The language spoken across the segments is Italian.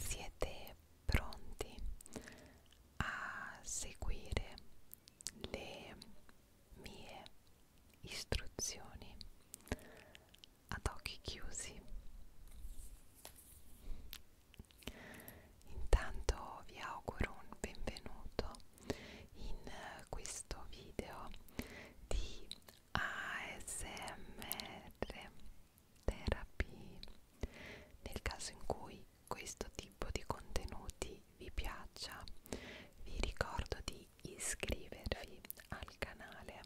Siete pronti a seguire le mie istruzioni ad occhi chiusi? Intanto vi auguro un benvenuto in questo video di ASMR therapy nel caso in cui questo tipo di contenuti vi piaccia vi ricordo di iscrivervi al canale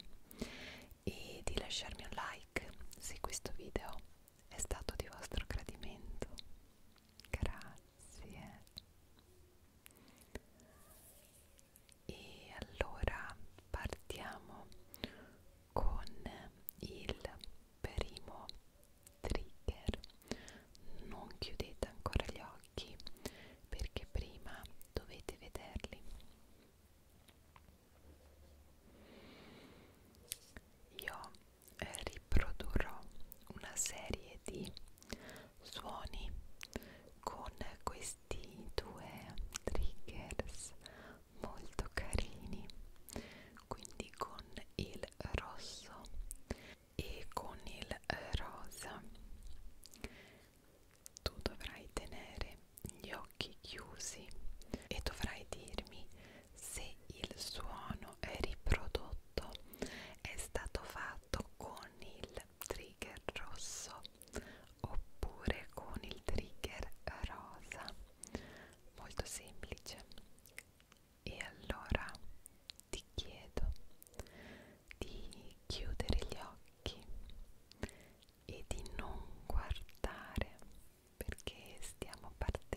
e di lasciarmi un like se questo video è stato di vostro gradimento grazie e allora partiamo con il primo trigger non chiudete ancora gli occhi perché prima dovete vederli io eh, riprodurrò una serie di suoni con questi due triggers molto carini quindi con il rosso e con il rosa tu dovrai tenere gli occhi chiusi e dovrai dirmi se il suono è riprodotto è stato fatto con il trigger rosso oppure con il trigger rosa molto semplice e allora ti chiedo di chiudere gli occhi e di non guardare perché stiamo partendo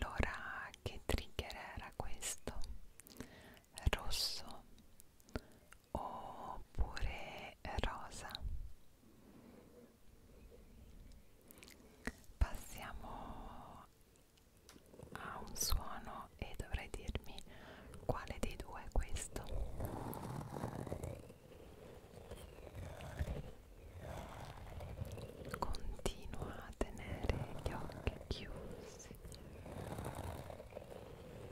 Allora, che trigger era questo? Rosso oppure rosa passiamo a un suono e dovrai dirmi quale dei due è questo continua a tenere gli occhi chiusi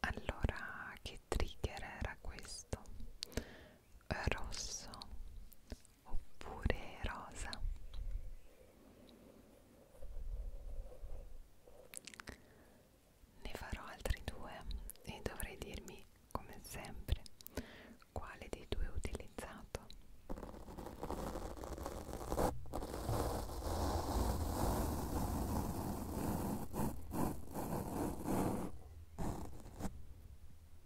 Allora, che trigger era questo? Rosso oppure rosa ne farò altri due e dovrei dirmi come sempre quale dei due ho utilizzato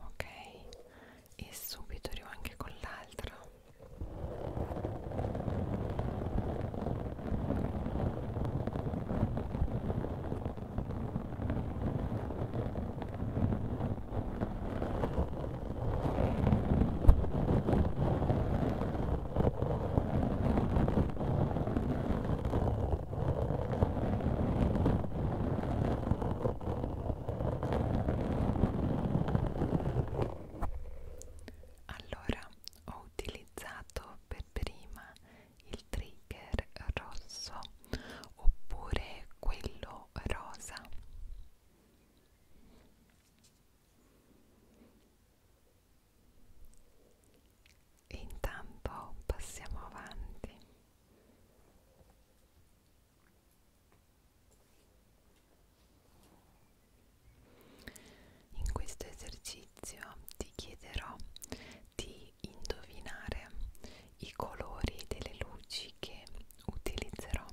Ok, e subito arrivo anche con l'altra. Allora ho utilizzato per prima il trigger rosso oppure quello rosa e intanto passiamo avanti in questo esercizio ti chiederò di indovinare i colori delle luci che utilizzerò.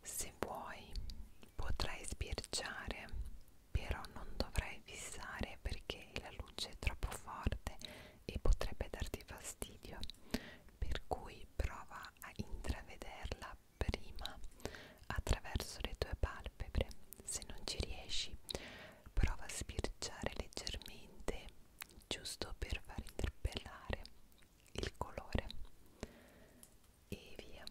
Se vuoi potrai sbirciare, però non dovrai fissare perché la luce è troppo forte e potrebbe darti fastidio, per cui prova a intravederla prima attraverso le tue palpebre. Se non ci riesci, prova a sbirciare leggermente, giusto per far interpellare il colore. E via. Ora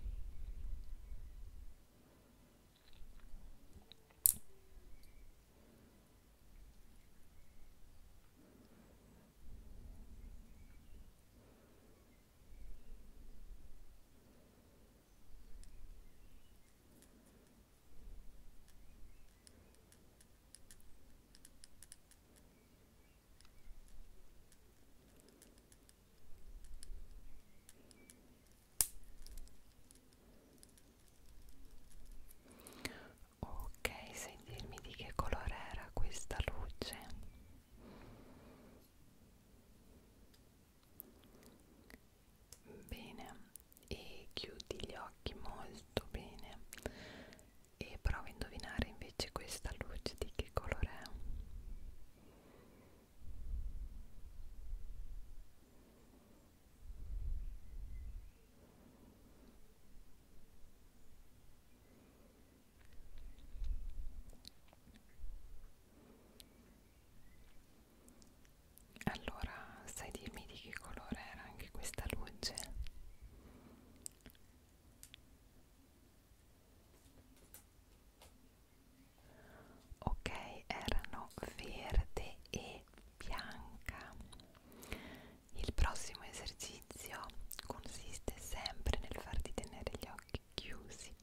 Ok, sai dirmi di che colore era questa luce? bene e chiudi gli occhi molto bene e prova a indovinare invece questa luce di che colore è allora, sai dirmi di che colore era anche questa luce? Ok, erano verde e bianca. Il prossimo esercizio consiste sempre nel farti tenere gli occhi chiusi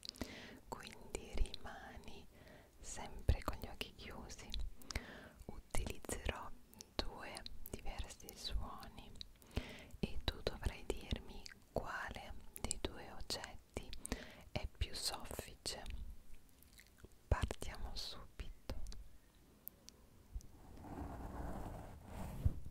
quindi rimani sempre con gli occhi chiusi utilizzerò due diversi suoni e tu dovrai dirmi quale dei due oggetti è più soffice partiamo subito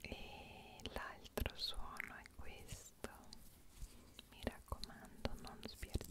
e l'altro suono è questo mi raccomando non sbirciare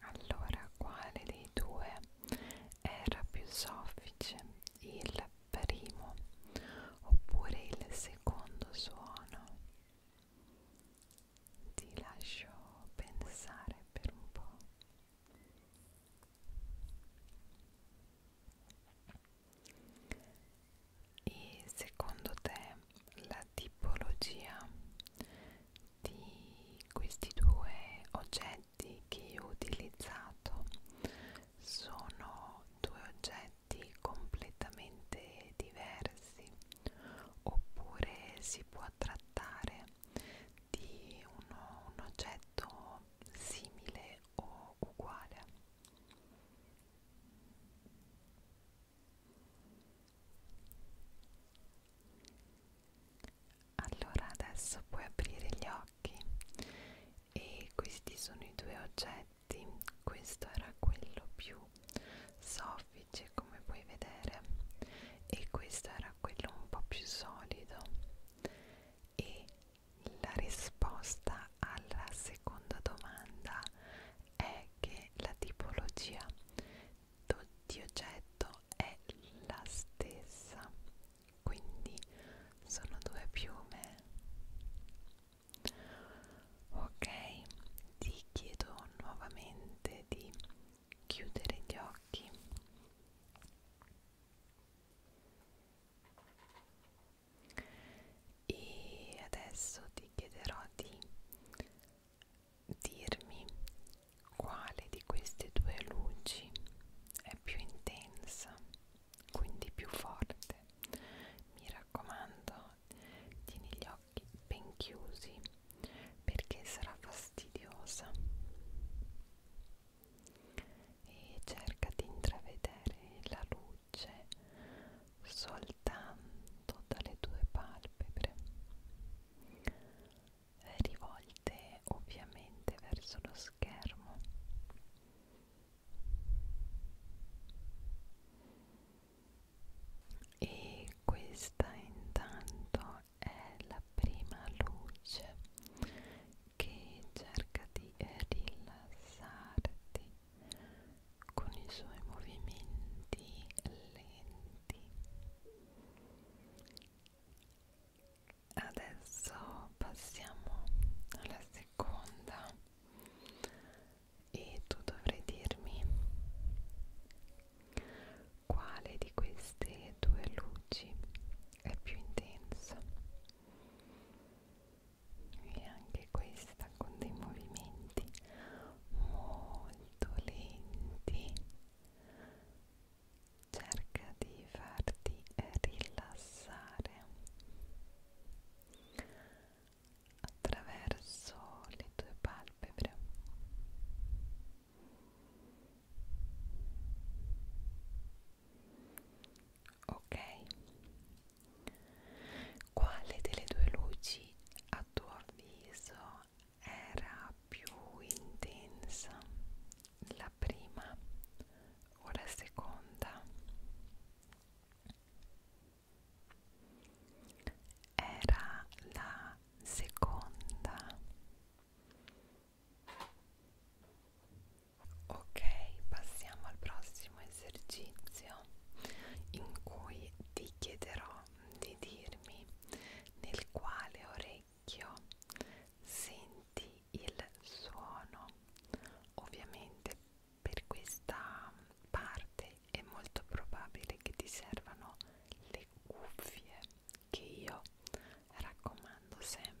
Allora, quale dei due era più soffice? Il primo oppure il secondo suono? Ti lascio pensare per un po'. E secondo te la tipologia di questi due oggetti oggetti che io ho utilizzato sono due oggetti completamente diversi oppure si può trattare di uno, un oggetto simile o uguale allora adesso puoi aprire gli occhi e questi sono i due oggetti, questo era quello più soffice come puoi vedere e questo era quello un po' più solido e la risposta alla seconda domanda è che la tipologia di oggetto è la stessa quindi sono due piume ok ti chiedo nuovamente di chiudere gli occhi e adesso ti chiederò di dirmi quale di queste due luci è più intensa, quindi più forte. Mi raccomando, tieni gli occhi ben chiusi perché sarà fastidiosa e cerca di intravedere la luce soltanto dalle tue palpebre rivolte ovviamente verso lo schermo e questa intanto è la prima luce che cerca di eh, rilassarti con i suoi movimenti lenti adesso passiamo alla seconda e tu dovrai dirmi quale di queste due luci è più intensa e anche questa con dei movimenti molto lenti cerca di farti eh, rilassare attraverso le tue palpebre ok quale delle due luci a tuo avviso era più intensa la prima o la seconda era la seconda ok passiamo al prossimo esercizio in cui ti chiederò di dirmi nel quale orecchio senti il suono. Ovviamente per questa parte è molto probabile che ti servano le cuffie che io raccomando sempre.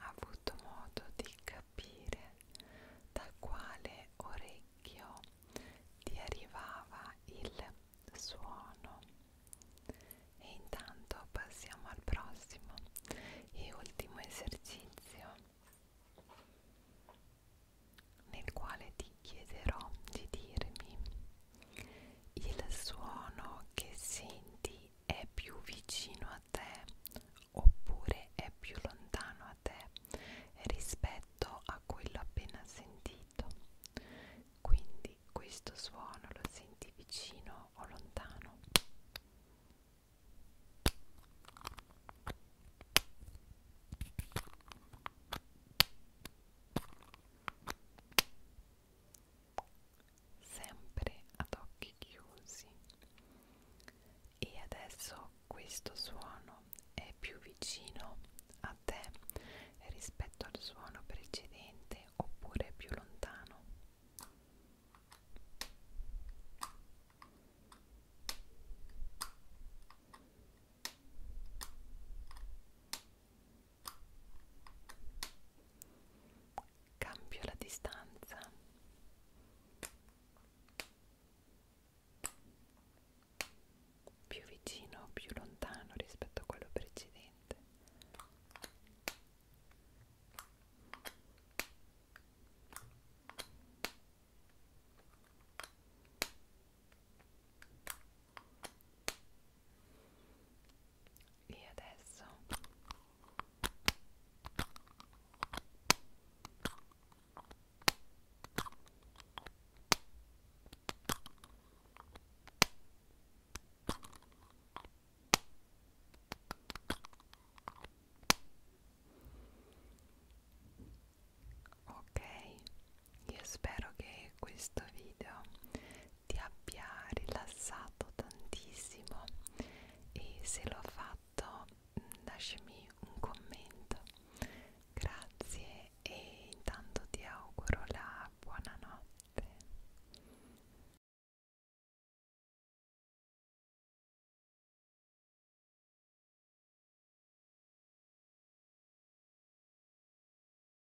ha avuto modo di capire da quale orecchio ti arrivava il suono. E intanto passiamo al prossimo e ultimo esercizio nel quale ti chiederò di dirmi il suono che senti è più vicino a te oppure è più lontano a te rispetto a quello appena sentito. Quindi questo suono lo senti vicino o lontano sempre ad occhi chiusi e adesso questo suono è più vicino a te rispetto al suono precedente oppure più lontano Cambio la distanza. Più vicino o più lontano rispetto a quello precedente e adesso Ok, io spero che questo video ti abbia rilassato tantissimo e se l'ho fatto mm, lasciami un commento. Grazie e intanto ti auguro la buonanotte.